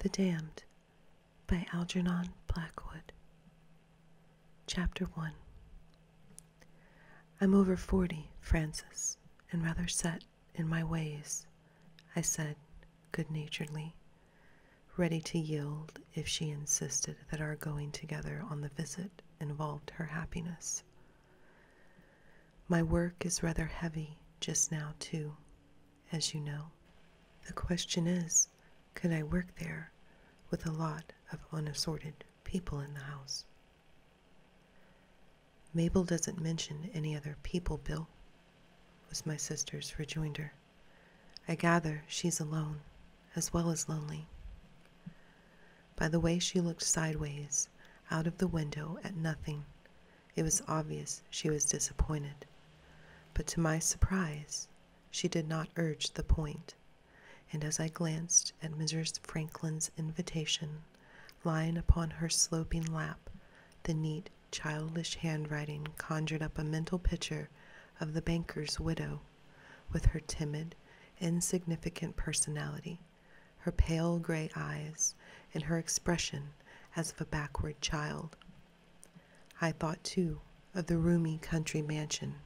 The Damned by Algernon Blackwood. Chapter 1 I'm over forty, Frances, and rather set in my ways, I said good naturedly, ready to yield if she insisted that our going together on the visit involved her happiness. My work is rather heavy just now, too, as you know. The question is could I work there with a lot of unassorted people in the house? Mabel doesn't mention any other people, Bill, was my sister's rejoinder. I gather she's alone, as well as lonely. By the way she looked sideways, out of the window, at nothing, it was obvious she was disappointed. But to my surprise, she did not urge the point, and as I glanced at Mrs. Franklin's invitation, lying upon her sloping lap, the neat, childish handwriting conjured up a mental picture of the banker's widow, with her timid, insignificant personality, her pale gray eyes, and her expression as of a backward child. I thought, too, of the roomy country mansion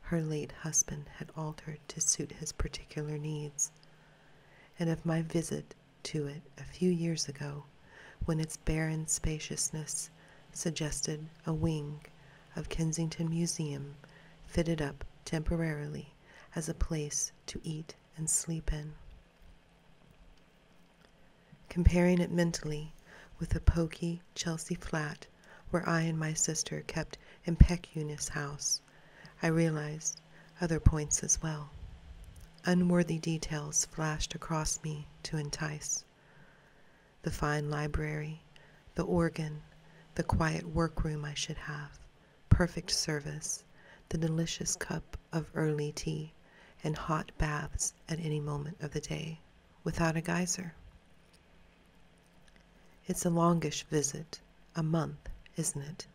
her late husband had altered to suit his particular needs, and of my visit to it a few years ago when its barren spaciousness suggested a wing of Kensington Museum fitted up temporarily as a place to eat and sleep in comparing it mentally with the poky Chelsea flat where I and my sister kept impecunious house. I realized other points as well. Unworthy details flashed across me to entice. The fine library, the organ, the quiet workroom I should have, perfect service, the delicious cup of early tea and hot baths at any moment of the day without a geyser. It's a longish visit, a month, isn't it?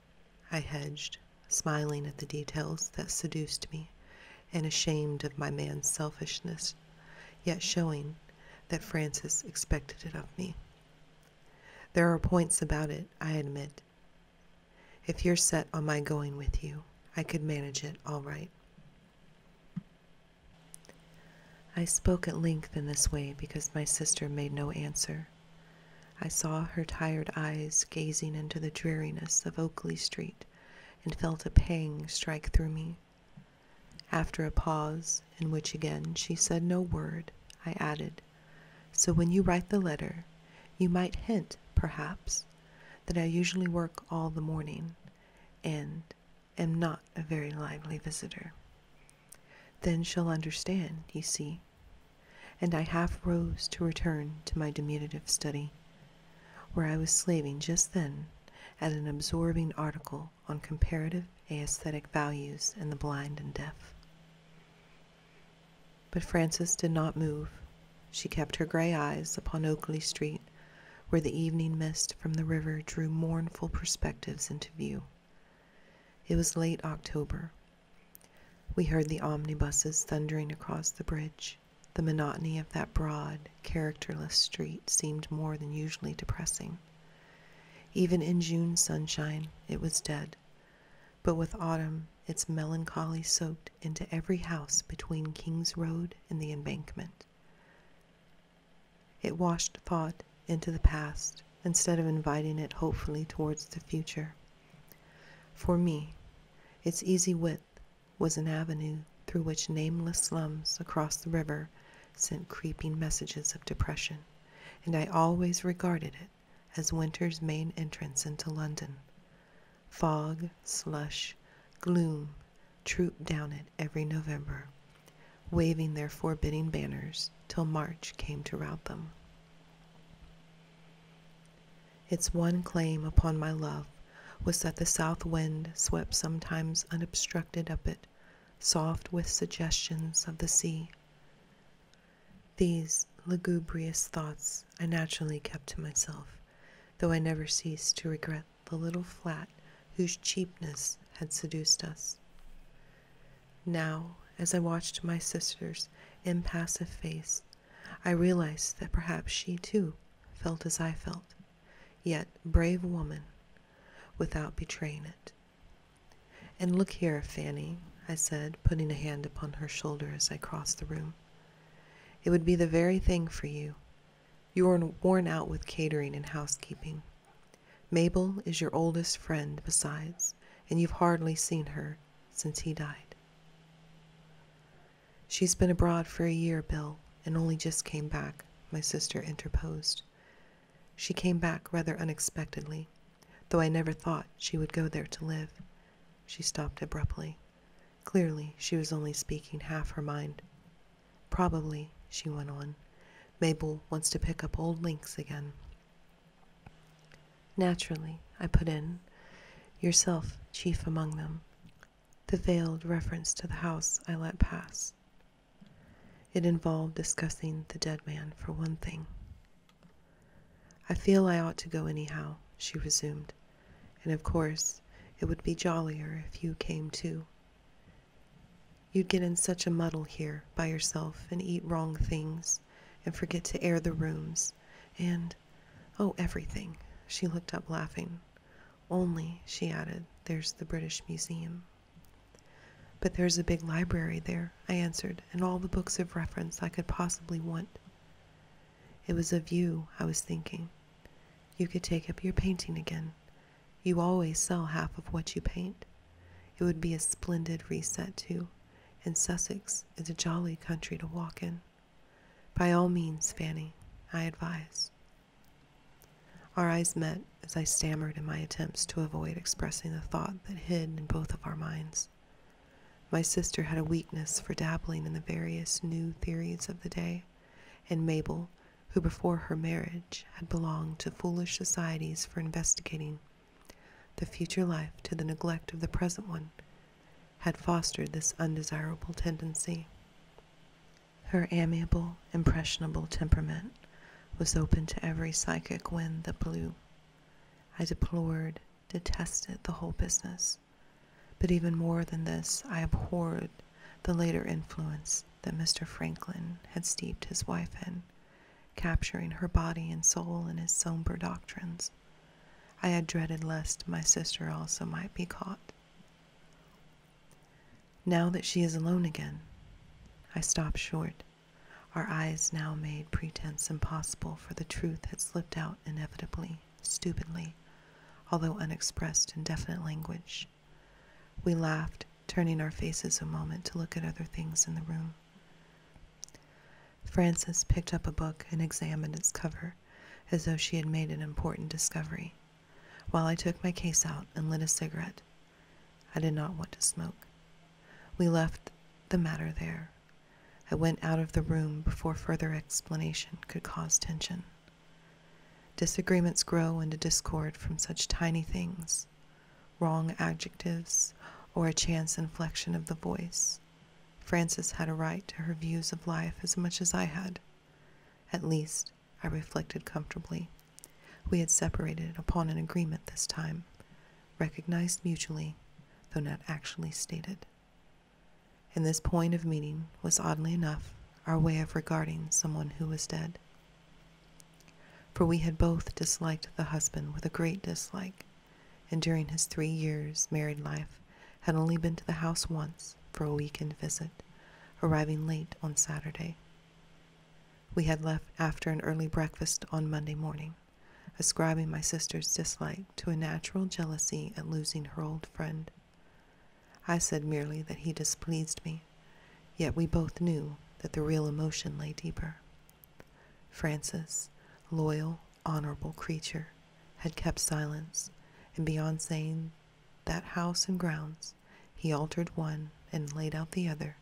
I hedged, smiling at the details that seduced me and ashamed of my man's selfishness, yet showing that Francis expected it of me. There are points about it, I admit, if you're set on my going with you, I could manage it all right. I spoke at length in this way because my sister made no answer. I saw her tired eyes gazing into the dreariness of Oakley Street and felt a pang strike through me. After a pause, in which again she said no word, I added, So when you write the letter, you might hint, perhaps, that I usually work all the morning and am not a very lively visitor. Then she'll understand, you see. And I half rose to return to my diminutive study, where I was slaving just then at an absorbing article on comparative aesthetic values in the blind and deaf. But Frances did not move. She kept her gray eyes upon Oakley Street, where the evening mist from the river drew mournful perspectives into view. It was late October. We heard the omnibuses thundering across the bridge. The monotony of that broad, characterless street seemed more than usually depressing. Even in June sunshine, it was dead, but with autumn, its melancholy soaked into every house between King's Road and the embankment. It washed thought into the past instead of inviting it hopefully towards the future. For me, its easy width was an avenue through which nameless slums across the river sent creeping messages of depression, and I always regarded it as winter's main entrance into London, Fog, slush, gloom trooped down it every November, waving their forbidding banners till March came to rout them. Its one claim upon my love was that the south wind swept sometimes unobstructed up it, soft with suggestions of the sea. These lugubrious thoughts I naturally kept to myself, though I never ceased to regret the little flat whose cheapness had seduced us. Now, as I watched my sister's impassive face, I realized that perhaps she too felt as I felt, yet, brave woman, without betraying it. And look here, Fanny, I said, putting a hand upon her shoulder as I crossed the room. It would be the very thing for you. You are worn out with catering and housekeeping. Mabel is your oldest friend, besides, and you've hardly seen her since he died. She's been abroad for a year, Bill, and only just came back, my sister interposed. She came back rather unexpectedly, though I never thought she would go there to live. She stopped abruptly. Clearly, she was only speaking half her mind. Probably, she went on, Mabel wants to pick up old links again. Naturally, I put in, yourself chief among them, the veiled reference to the house I let pass. It involved discussing the dead man, for one thing. I feel I ought to go anyhow, she resumed. And of course, it would be jollier if you came too. You'd get in such a muddle here by yourself and eat wrong things and forget to air the rooms and, oh, everything. She looked up laughing. Only, she added, there's the British Museum. But there's a big library there, I answered, and all the books of reference I could possibly want. It was of you I was thinking. You could take up your painting again. You always sell half of what you paint. It would be a splendid reset, too, and Sussex is a jolly country to walk in. By all means, Fanny, I advise. Our eyes met as I stammered in my attempts to avoid expressing the thought that hid in both of our minds. My sister had a weakness for dabbling in the various new theories of the day, and Mabel, who before her marriage had belonged to foolish societies for investigating the future life to the neglect of the present one, had fostered this undesirable tendency. Her amiable, impressionable temperament was open to every psychic wind that blew. I deplored, detested the whole business but even more than this, I abhorred the later influence that Mr. Franklin had steeped his wife in, capturing her body and soul in his somber doctrines. I had dreaded lest my sister also might be caught. Now that she is alone again, I stopped short. Our eyes now made pretense impossible, for the truth had slipped out inevitably stupidly, although unexpressed in definite language. We laughed, turning our faces a moment to look at other things in the room. Frances picked up a book and examined its cover as though she had made an important discovery, while I took my case out and lit a cigarette. I did not want to smoke. We left the matter there, I went out of the room before further explanation could cause tension. Disagreements grow into discord from such tiny things wrong adjectives, or a chance inflection of the voice. Frances had a right to her views of life as much as I had. At least, I reflected comfortably. We had separated upon an agreement this time, recognized mutually, though not actually stated. And this point of meeting was oddly enough our way of regarding someone who was dead. For we had both disliked the husband with a great dislike, and during his three years' married life had only been to the house once for a weekend visit, arriving late on Saturday. We had left after an early breakfast on Monday morning, ascribing my sister's dislike to a natural jealousy at losing her old friend I said merely that he displeased me, yet we both knew that the real emotion lay deeper. Francis, loyal, honorable creature, had kept silence, and beyond saying that house and grounds, he altered one and laid out the other,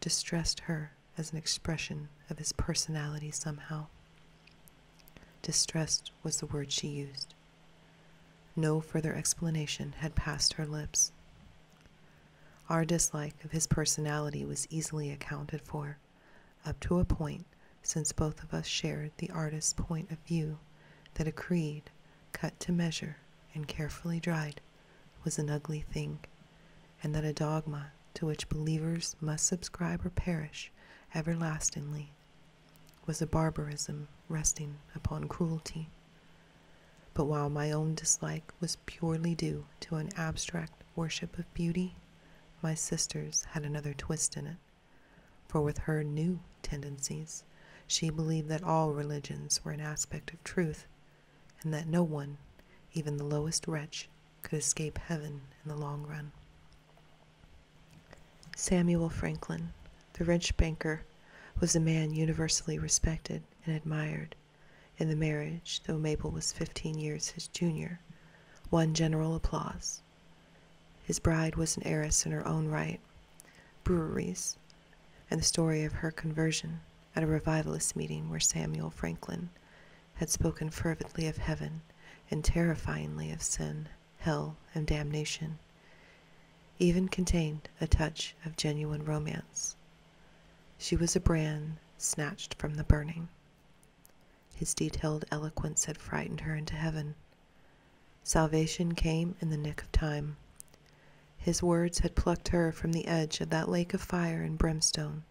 distressed her as an expression of his personality somehow. Distressed was the word she used. No further explanation had passed her lips. Our dislike of his personality was easily accounted for, up to a point, since both of us shared the artist's point of view that a creed, cut to measure and carefully dried, was an ugly thing, and that a dogma to which believers must subscribe or perish everlastingly was a barbarism resting upon cruelty. But while my own dislike was purely due to an abstract worship of beauty, my sister's had another twist in it. For with her new tendencies, she believed that all religions were an aspect of truth, and that no one, even the lowest wretch, could escape heaven in the long run. Samuel Franklin, the rich banker, was a man universally respected and admired. And the marriage, though Mabel was 15 years his junior, won general applause. His bride was an heiress in her own right, breweries, and the story of her conversion at a revivalist meeting where Samuel Franklin had spoken fervently of heaven and terrifyingly of sin hell, and damnation, even contained a touch of genuine romance. She was a brand snatched from the burning. His detailed eloquence had frightened her into heaven. Salvation came in the nick of time. His words had plucked her from the edge of that lake of fire and brimstone,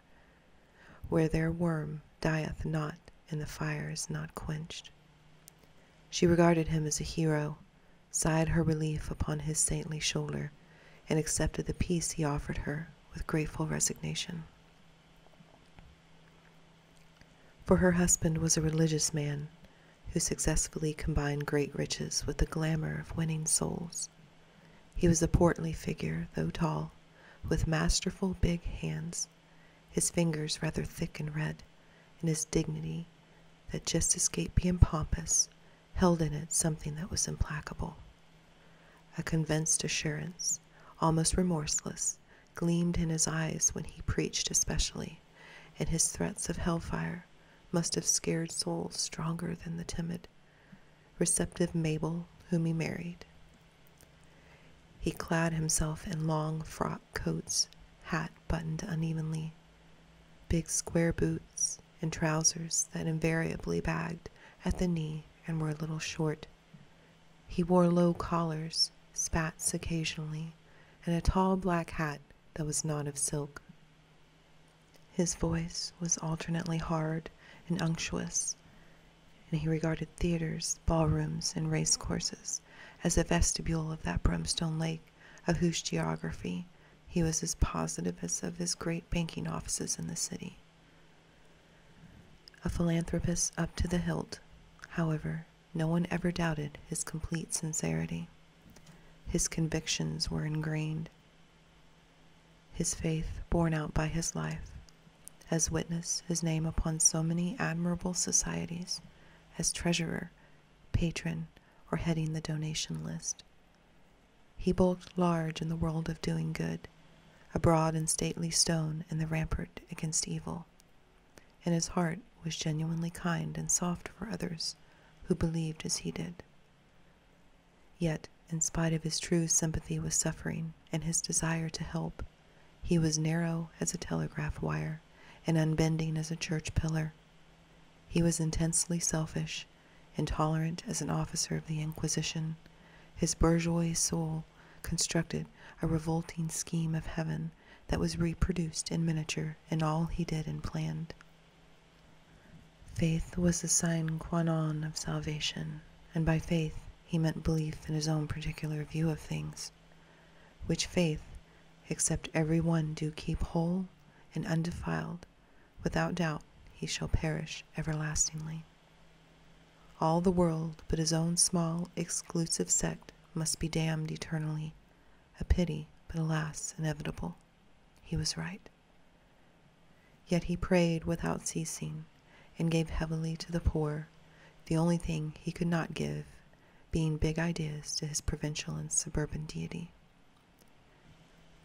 where their worm dieth not and the fire is not quenched. She regarded him as a hero, sighed her relief upon his saintly shoulder, and accepted the peace he offered her with grateful resignation. For her husband was a religious man who successfully combined great riches with the glamour of winning souls. He was a portly figure, though tall, with masterful big hands his fingers rather thick and red, and his dignity, that just escaped being pompous, held in it something that was implacable. A convinced assurance, almost remorseless, gleamed in his eyes when he preached, especially, and his threats of hellfire must have scared souls stronger than the timid, receptive Mabel, whom he married. He clad himself in long frocks coats, hat buttoned unevenly, big square boots, and trousers that invariably bagged at the knee and were a little short. He wore low collars, spats occasionally, and a tall black hat that was not of silk. His voice was alternately hard and unctuous, and he regarded theaters, ballrooms, and race courses as the vestibule of that brimstone lake of whose geography he was as positive as of his great banking offices in the city. A philanthropist up to the hilt, however, no one ever doubted his complete sincerity. His convictions were ingrained, his faith borne out by his life, as witness his name upon so many admirable societies as treasurer, patron, or heading the donation list. He bulked large in the world of doing good, a broad and stately stone in the rampart against evil, and his heart was genuinely kind and soft for others who believed as he did. Yet, in spite of his true sympathy with suffering and his desire to help, he was narrow as a telegraph wire and unbending as a church pillar. He was intensely selfish, intolerant as an officer of the Inquisition. His bourgeois soul constructed a revolting scheme of heaven that was reproduced in miniature in all he did and planned. Faith was the sine qua non of salvation, and by faith he meant belief in his own particular view of things which faith, except every one do keep whole and undefiled, without doubt he shall perish everlastingly. All the world but his own small, exclusive sect must be damned eternally, a pity, but alas, inevitable. He was right. Yet he prayed without ceasing, and gave heavily to the poor, the only thing he could not give being big ideas to his provincial and suburban deity.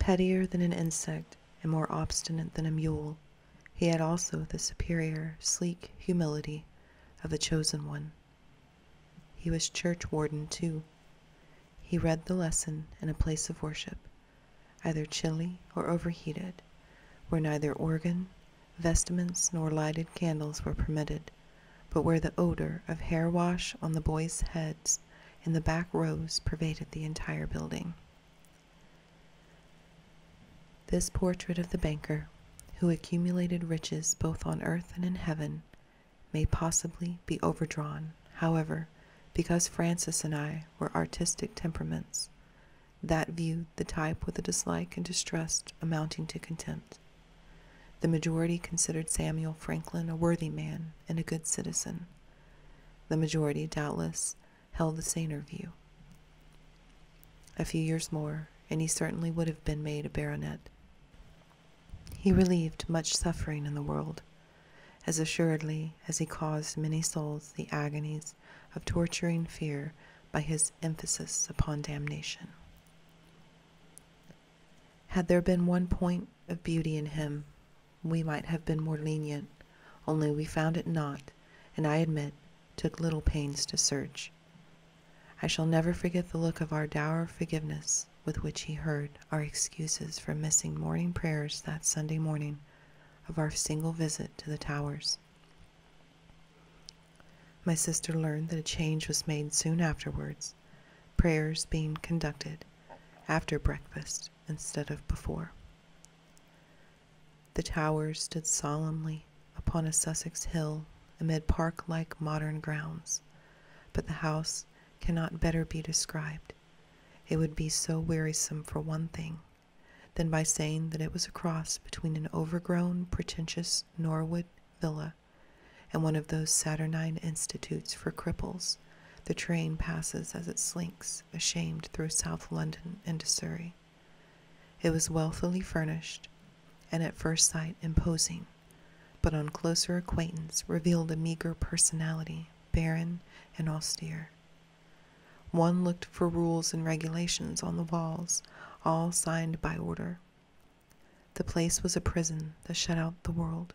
Pettier than an insect and more obstinate than a mule, he had also the superior, sleek humility of the chosen one. He was church warden, too. He read the lesson in a place of worship, either chilly or overheated, where neither organ Vestments nor lighted candles were permitted, but where the odor of hair wash on the boys' heads in the back rows pervaded the entire building. This portrait of the banker, who accumulated riches both on earth and in heaven, may possibly be overdrawn, however, because Francis and I were artistic temperaments. That view the type with a dislike and distrust amounting to contempt. The majority considered Samuel Franklin a worthy man and a good citizen. The majority, doubtless, held the saner view. A few years more, and he certainly would have been made a baronet. He relieved much suffering in the world, as assuredly as he caused many souls the agonies of torturing fear by his emphasis upon damnation. Had there been one point of beauty in him, we might have been more lenient, only we found it not, and I admit, took little pains to search. I shall never forget the look of our dour forgiveness with which he heard our excuses for missing morning prayers that Sunday morning of our single visit to the towers. My sister learned that a change was made soon afterwards, prayers being conducted after breakfast instead of before. The tower stood solemnly upon a Sussex hill amid park like modern grounds, but the house cannot better be described. It would be so wearisome for one thing than by saying that it was a cross between an overgrown, pretentious Norwood Villa, and one of those Saturnine institutes for cripples. The train passes as it slinks, ashamed, through South London into Surrey. It was wealthily furnished, and at first sight imposing, but on closer acquaintance revealed a meager personality, barren and austere. One looked for rules and regulations on the walls, all signed by order, the place was a prison that shut out the world.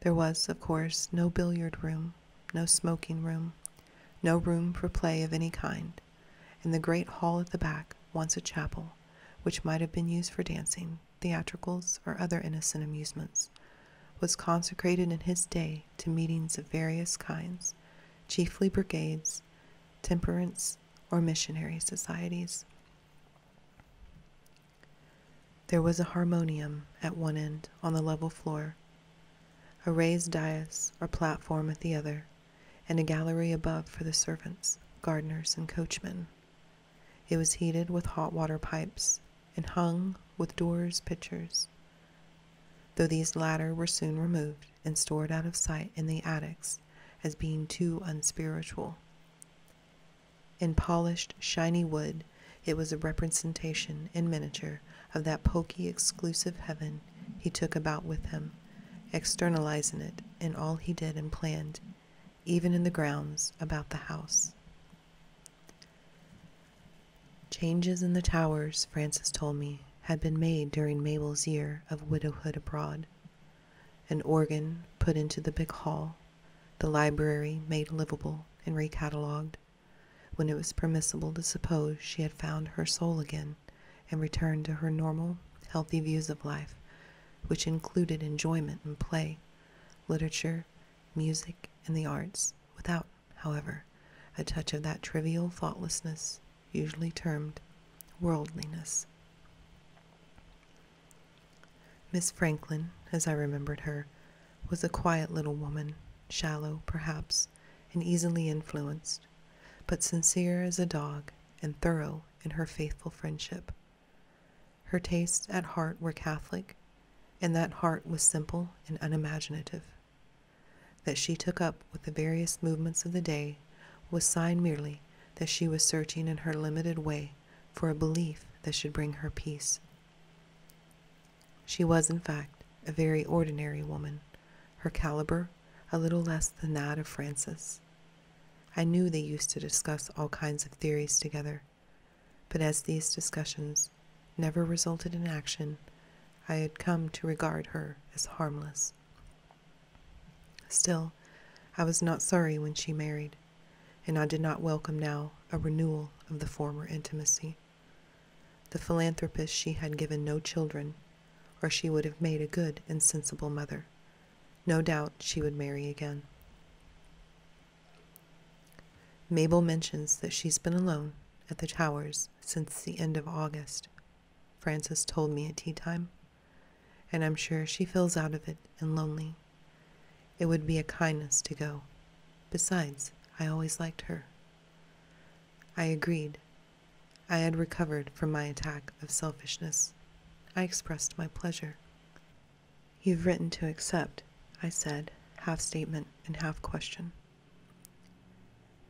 There was, of course, no billiard room, no smoking room, no room for play of any kind, and the great hall at the back, once a chapel, which might have been used for dancing, theatricals, or other innocent amusements, was consecrated in his day to meetings of various kinds, chiefly brigades, temperance, or missionary societies. There was a harmonium at one end on the level floor, a raised dais or platform at the other, and a gallery above for the servants, gardeners, and coachmen. It was heated with hot water pipes and hung with doors' pictures, though these latter were soon removed and stored out of sight in the attics as being too unspiritual. In polished, shiny wood, it was a representation in miniature of that poky, exclusive heaven he took about with him, externalizing it in all he did and planned, even in the grounds about the house. Changes in the towers, Francis told me, had been made during Mabel's year of widowhood abroad. An organ put into the big hall, the library made livable and recatalogued, when it was permissible to suppose she had found her soul again and returned to her normal, healthy views of life, which included enjoyment and play, literature, music, and the arts, without, however, a touch of that trivial thoughtlessness usually termed worldliness. Miss Franklin, as I remembered her, was a quiet little woman, shallow, perhaps, and easily influenced, but sincere as a dog and thorough in her faithful friendship. Her tastes at heart were Catholic, and that heart was simple and unimaginative. That she took up with the various movements of the day was sign merely that she was searching in her limited way for a belief that should bring her peace. She was, in fact, a very ordinary woman, her caliber a little less than that of Frances. I knew they used to discuss all kinds of theories together, but as these discussions never resulted in action, I had come to regard her as harmless. Still, I was not sorry when she married, and I did not welcome now a renewal of the former intimacy. The philanthropist she had given no children, or she would have made a good and sensible mother. No doubt she would marry again. Mabel mentions that she's been alone at the Towers since the end of August. Frances told me at tea time and I'm sure she feels out of it and lonely. It would be a kindness to go. Besides, I always liked her. I agreed. I had recovered from my attack of selfishness. I expressed my pleasure. You've written to accept, I said, half statement and half question.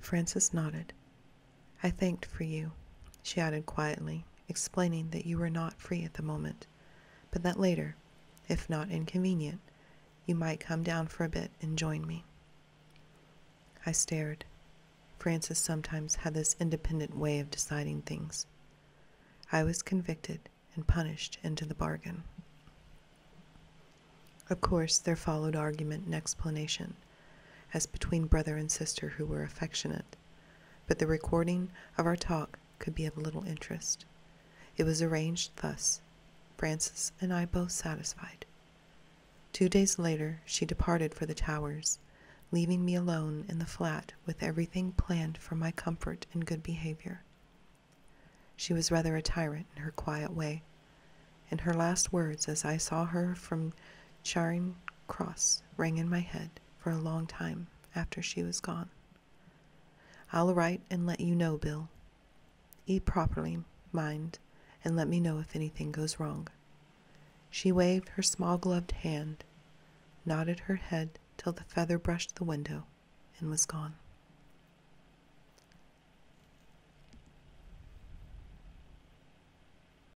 Francis nodded. I thanked for you, she added quietly, explaining that you were not free at the moment, but that later, if not inconvenient, you might come down for a bit and join me. I stared. Francis sometimes had this independent way of deciding things. I was convicted and punished into the bargain. Of course, there followed argument and explanation, as between brother and sister who were affectionate but the recording of our talk could be of little interest. It was arranged thus Frances and I both satisfied. Two days later, she departed for the Towers, leaving me alone in the flat with everything planned for my comfort and good behavior. She was rather a tyrant in her quiet way, and her last words as I saw her from Charing Cross rang in my head for a long time after she was gone. I'll write and let you know, Bill. Eat properly, mind, and let me know if anything goes wrong. She waved her small gloved hand, nodded her head till the feather brushed the window, and was gone.